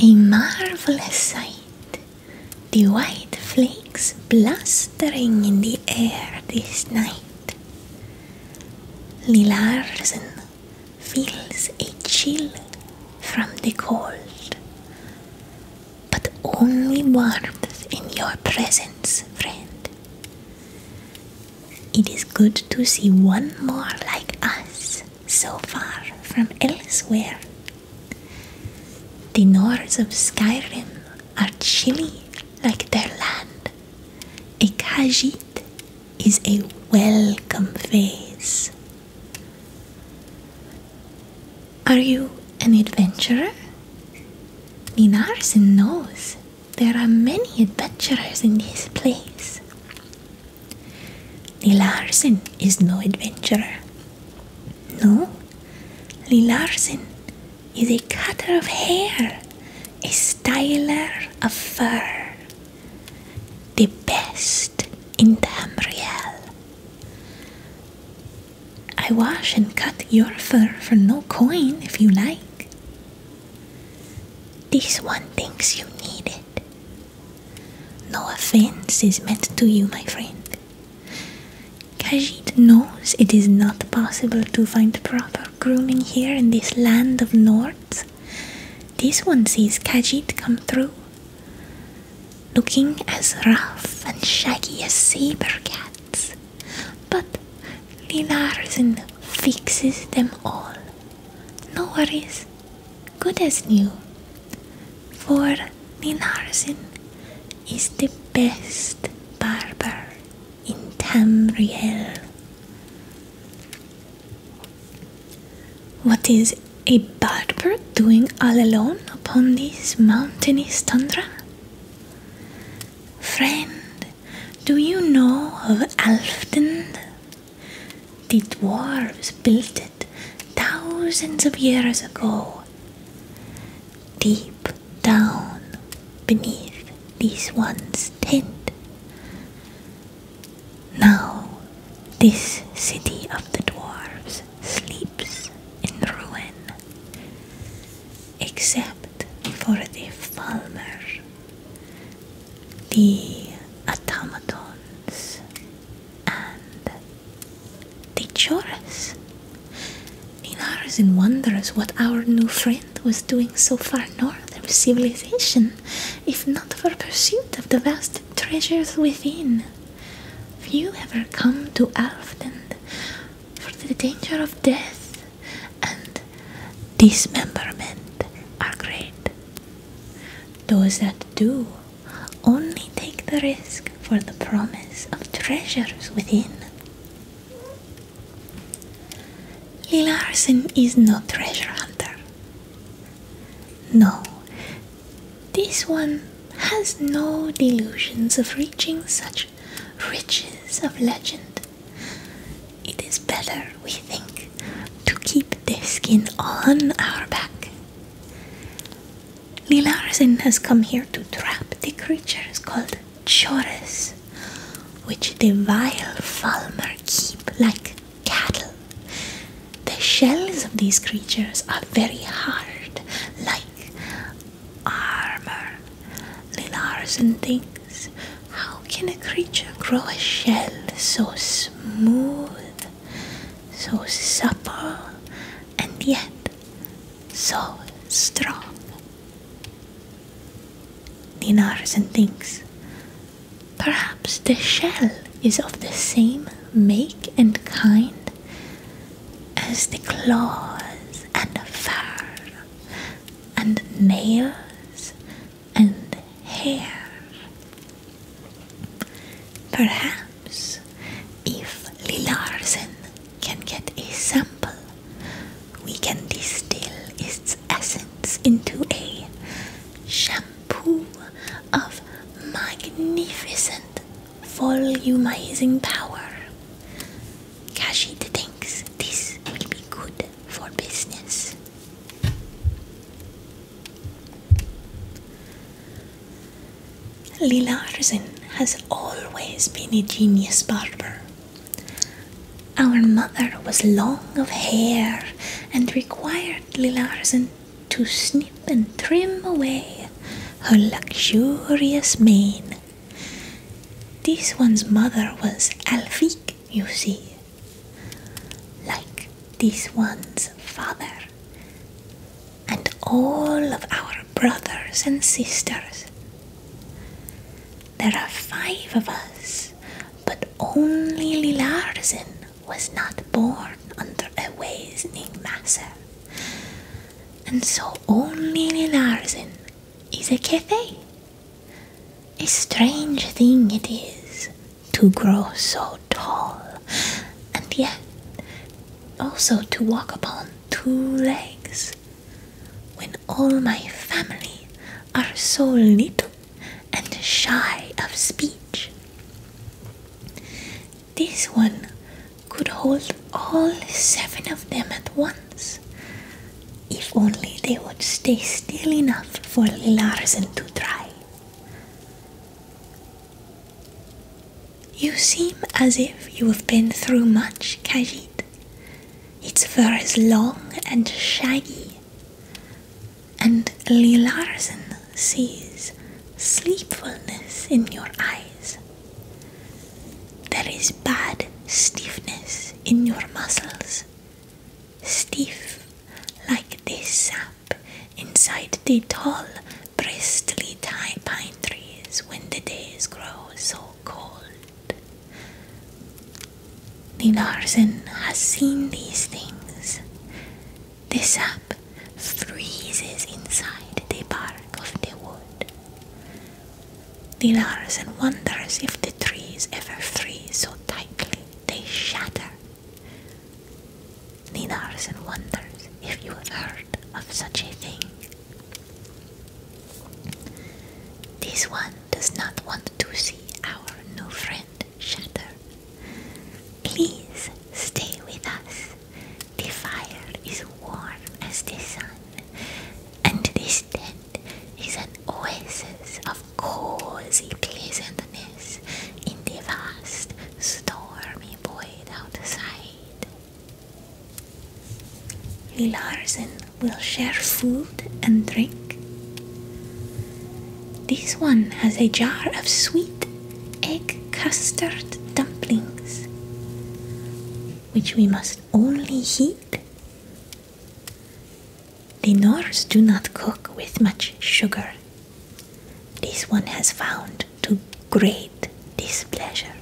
A marvelous sight, the white flakes blustering in the air this night. Lilarsen feels a chill from the cold, but only warmth in your presence, friend. It is good to see one more like us, so far from elsewhere. The north of Skyrim are chilly like their land. A Khajiit is a welcome face. Are you an adventurer? Ninarsen knows there are many adventurers in this place. Lilarsen is no adventurer. No, Lilarsen is a cutter of hair, a styler of fur, the best in Tamriel. I wash and cut your fur for no coin if you like. This one thinks you need it. No offense is meant to you, my friend. Kajit knows it is not possible to find proper grooming here in this land of Nords. This one sees Kajit come through, looking as rough and shaggy as saber cats. But Lilarzin fixes them all no worries, good as new. For Ninarsin is the best barber in Tamriel. What is a barber doing all alone upon this mountainous tundra? Friend, do you know of Alfdend? The dwarves built it thousands of years ago. Deep down beneath this one's tent. Now, this city of the dwarves sleeps in ruin, except for the Falmer the automatons and the chorus. In ours and wonders what our new friend was doing so far north of civilization, if not for pursuit of the vast treasures within. Few ever come to Alfland, for the danger of death and dismemberment are great. Those that do only take the risk for the promise of treasures within. Arsen is no treasure hunter. No, this one has no delusions of reaching such riches of legend it is better, we think, to keep the skin on our back. Lilarsen has come here to trap the creatures called choras, which the vile Falmer keep like cattle. The shells of these creatures are very hard, like armor. Lilarsen thinks how can a creature grow a shell so smooth, so supple, and yet so strong? Ninarzan thinks, perhaps the shell is of the same make and kind as the claws and fur and nails and hair. Perhaps if Lilarsen can get a sample, we can distill its essence into a shampoo of magnificent volumizing power. Kashid thinks this will be good for business. Lila Arzen has always been a genius barber. Our mother was long of hair and required Lila Arzen to snip and trim away her luxurious mane. This one's mother was Alfique, you see, like this one's father, and all of our brothers and sisters. There are five of us, but only Lilarsen was not born under a Waisning Master, and so only Lilarsen is a Kethe. A strange thing it is to grow so tall, and yet also to walk upon two legs, when all my family are so little and shy of speech. This one could hold all seven of them at once, if only they would stay still enough for Larsen to try. You seem as if you have been through much, Kajit. Its fur is long and shaggy, and Lilarzen sees sleepfulness in your eyes. There is bad stiffness in your muscles, stiff like this sap inside the tall, bristly pine trees when the days grow so cold. The Larsen has seen these things. The sap freezes inside the bark of the wood. The Larsen wonders if the trees ever freeze so tightly they shatter Nina Arsen wonders if you have heard of such a thing. This one does not want to see our new friend shatter. Please stay with us. The fire is warm as the sun, and this tent is an oasis of of cozy pleasantness in the vast, stormy void outside. Larsen will share food and drink. This one has a jar of sweet egg custard dumplings, which we must only heat the Nords do not cook with much sugar. This one has found to great displeasure.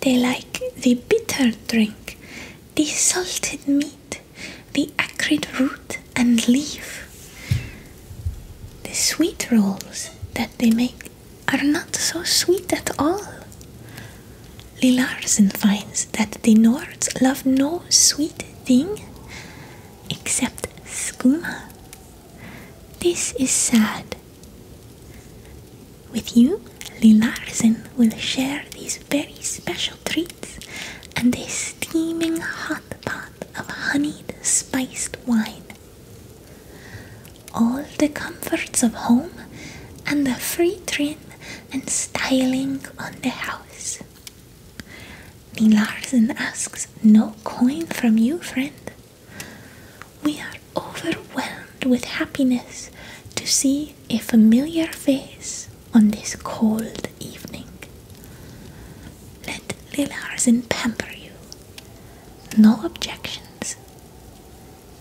They like the bitter drink, the salted meat, the acrid root and leaf. The sweet rolls that they make are not so sweet at all. Lilarsen finds that the Nords love no sweet thing except skooma. This is sad. With you, Lilarsen will share these very special treats and a steaming hot pot of honeyed spiced wine. All the comforts of home and a free trim and styling on the house. Nilarsen asks no coin from you, friend. We are overwhelmed with happiness to see a familiar face on this cold evening. Let Lilarsen pamper you. No objections.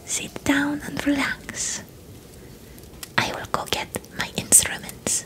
Sit down and relax. I will go get my instruments.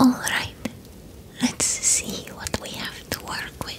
All right, let's see what we have to work with.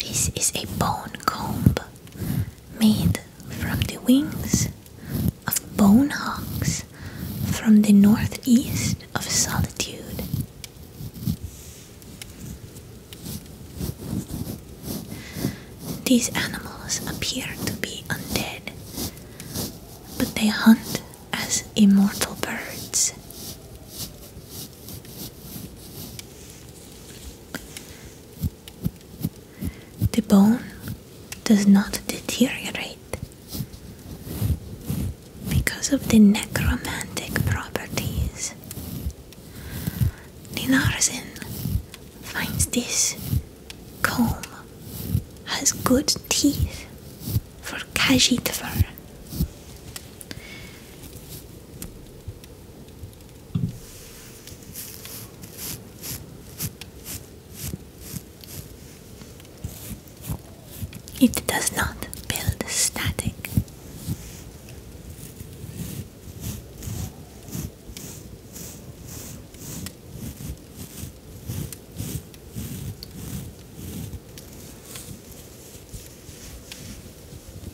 This is a bone comb made from the wings of bone hawks from the northeast of solitude. These animals appear to be undead, but they hunt as immortal birds. The bone does not deteriorate because of the necromantic properties. Ninarzin finds this comb has good teeth for Kajit it does not build static.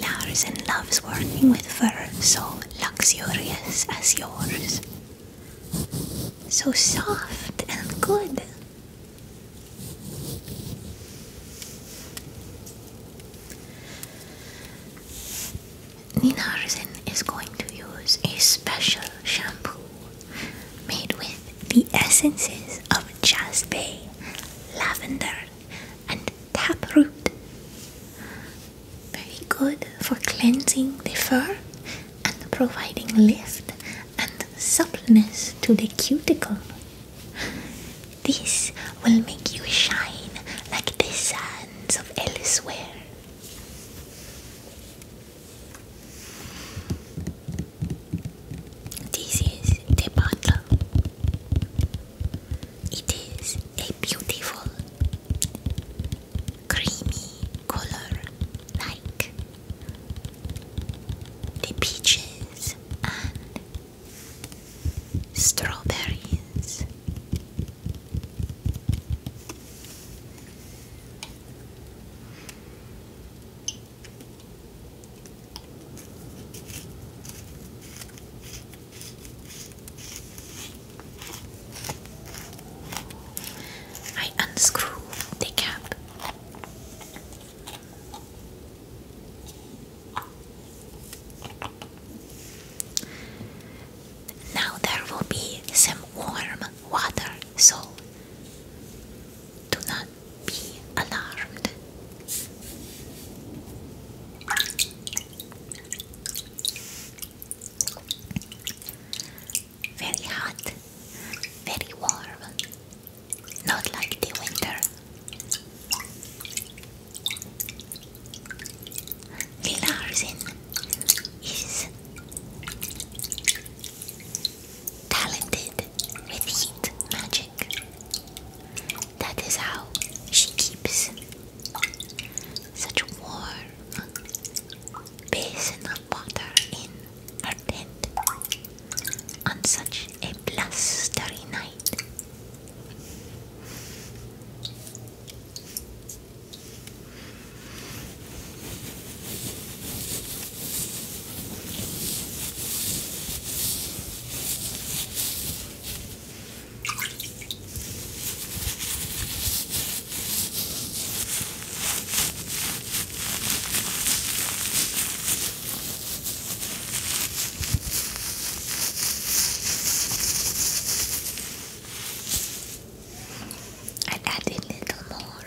Larsen loves working with fur so luxurious as yours. So soft and good. Ninarsen is going to use a special shampoo made with the essences of jasmine, lavender, and taproot. Very good for cleansing the fur and providing lift and suppleness to the cuticle. This will make you shine like the sands of elsewhere. This is the bottle. It is a beautiful creamy color like the peaches and strawberries. I unscrew the cap. Now there will be some warm water, so do not be alarmed. Very hot, very warm, not like the winter. Relaxing is talented with heat magic. That is how she keeps such a warm basin of water in our tent on such a blustery night. I'd add a little more.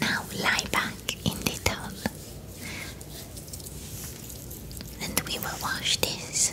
Now lie back in the towel and we will wash this.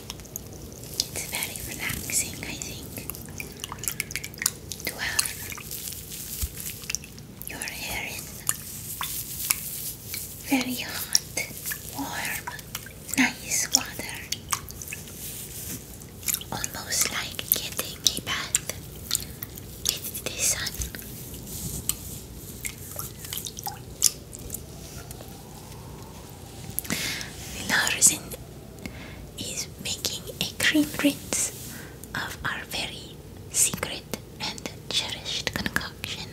It's very relaxing, I think, to have your hair in very hot, warm, nice water. Almost like getting a bath with the sun. Lars is making a cream rinse of our very secret and cherished concoction.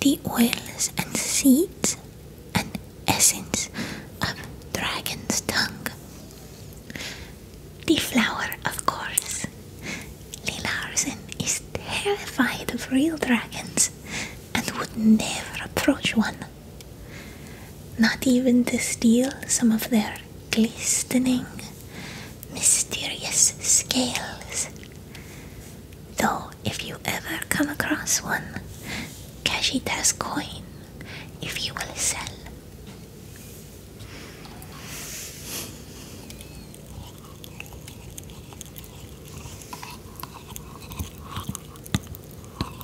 The oils and seeds and essence of dragon's tongue. The flower, of course. Lilarsen is terrified of real dragons and would never approach one. Not even to steal some of their glistening, mysterious scales. Though, if you ever come across one, cash it as coin, if you will sell.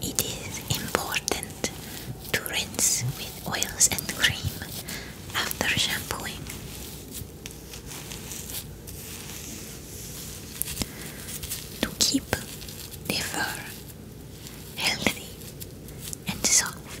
It is important to rinse with oils and cream after shampooing. To keep the fur healthy and soft,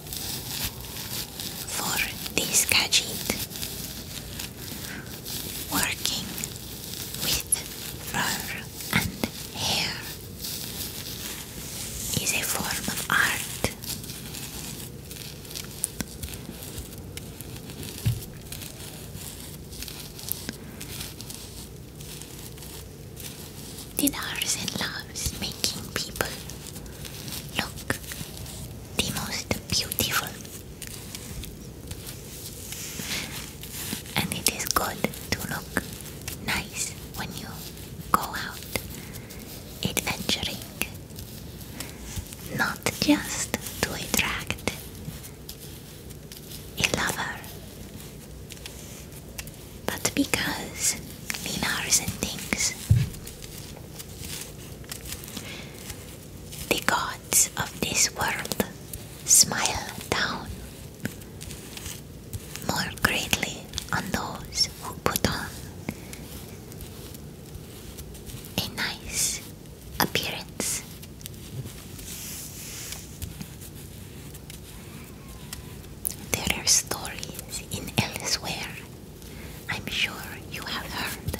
for this gadget working with fur and hair is a form of art Dinars and loves making people look the most beautiful and it is good to look nice when you go out adventuring not just to attract a lover but because the and things the gods of this world smile down more greatly on those who put on a nice appearance. There are stories in elsewhere I'm sure you have heard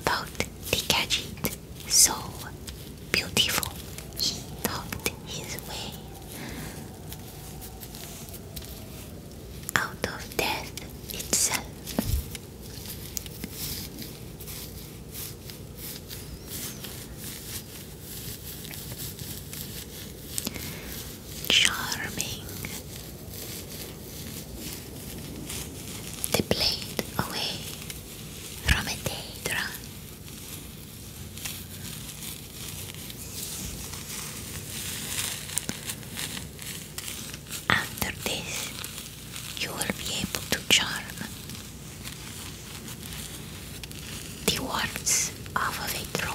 about the gadget so beautiful he talked his way out of death itself. Charming they played away from a day drum. After this, you will be able to charm the words off of a troll.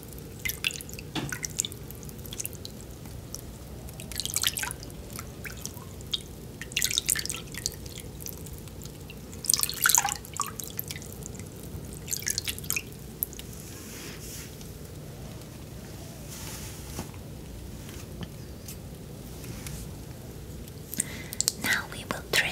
Now we will trim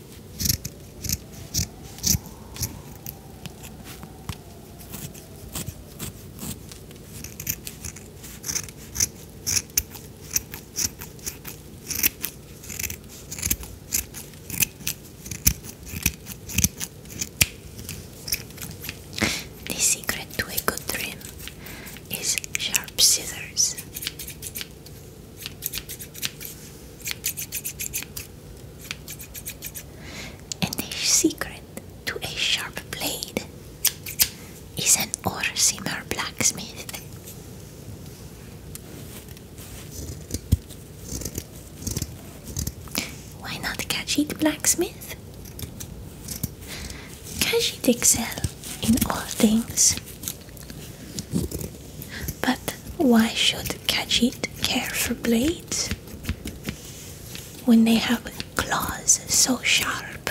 The secret to a good dream is sharp scissors. And the secret to a sharp blade is an Orsimer blacksmith. Why not Khajiit blacksmith? Khajiit excel in all things. But why should Khajiit care for blades? when they have claws so sharp.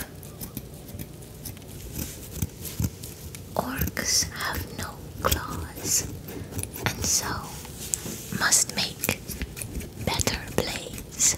Orcs have no claws and so must make better blades.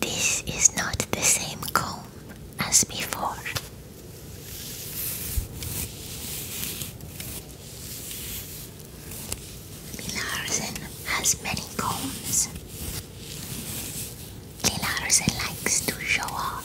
This is not the same comb as before. Milarsen has many combs. Neil likes to show off.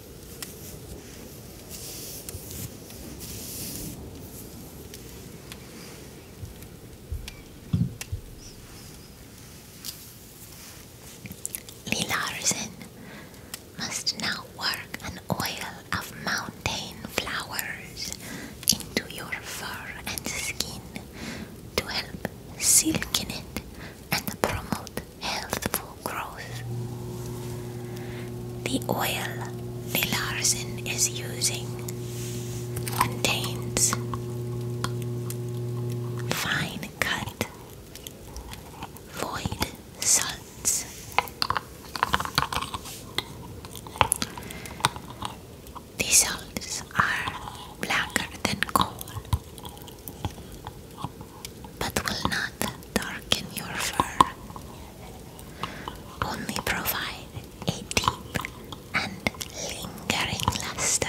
Milarsen must now work an oil of mountain flowers into your fur and skin to help silken it and promote healthful growth. The oil Nilarsen is using contains fine cut void salts. These salts are blacker than coal but will not darken your fur. Only provide a deep and lingering luster.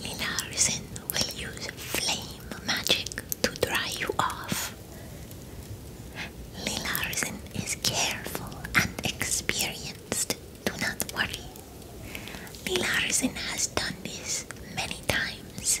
Linarisen will use flame magic to dry you off. Linarisen is careful and experienced. Do not worry. Linarisen has done this many times.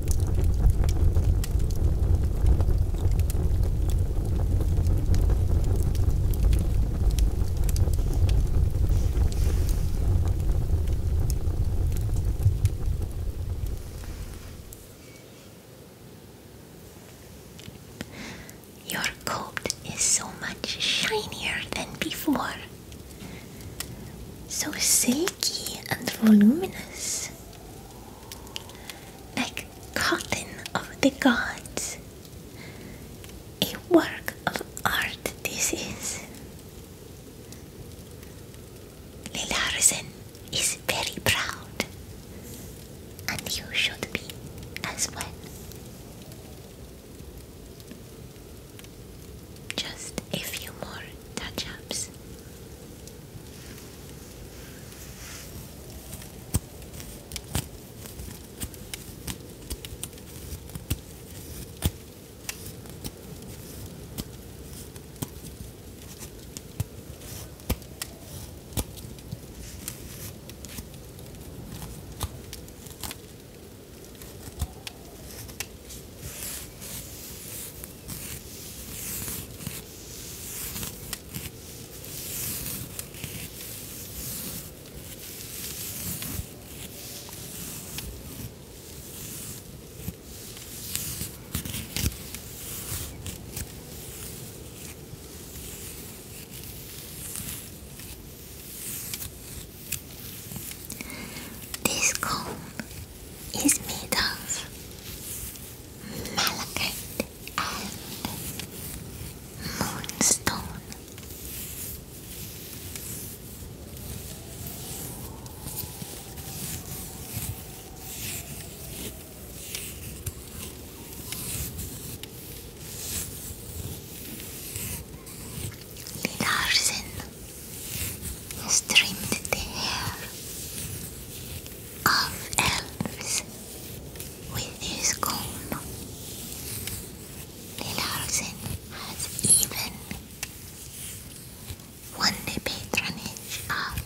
Your coat is so much shinier than before, so silky and voluminous like Cotton of the Gods. A work of art, this is. Lilarsen is very proud, and you should be as well. Just a few more touch ups. This comb is made of Malachite and Moonstone. Larsen has trimmed the hair of elves with his comb. Lilarsen has even won the patronage of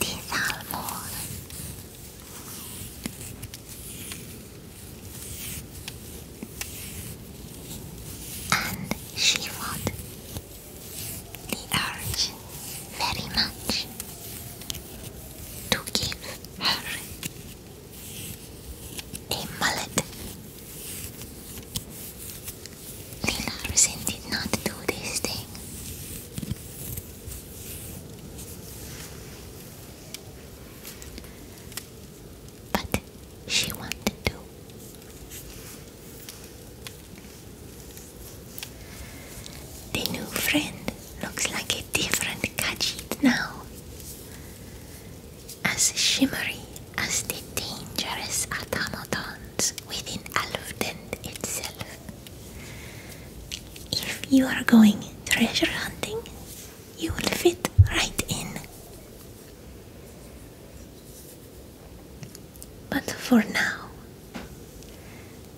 Dithalmor. And she fought the arch very much to give her a mullet. Larsen did not do this thing. But she wanted to. The new friend looks like a different Khajiit now. As shimmery as the dangerous automatons within Alvdend itself. If you are going treasure hunting, you will fit right in. But for now,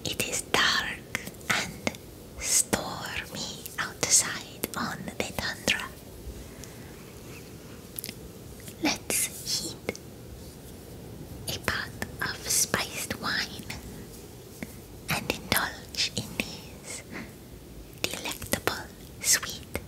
it is dark and stormy outside on the tundra. Let's heat a pot of spiced wine and indulge in these delectable sweet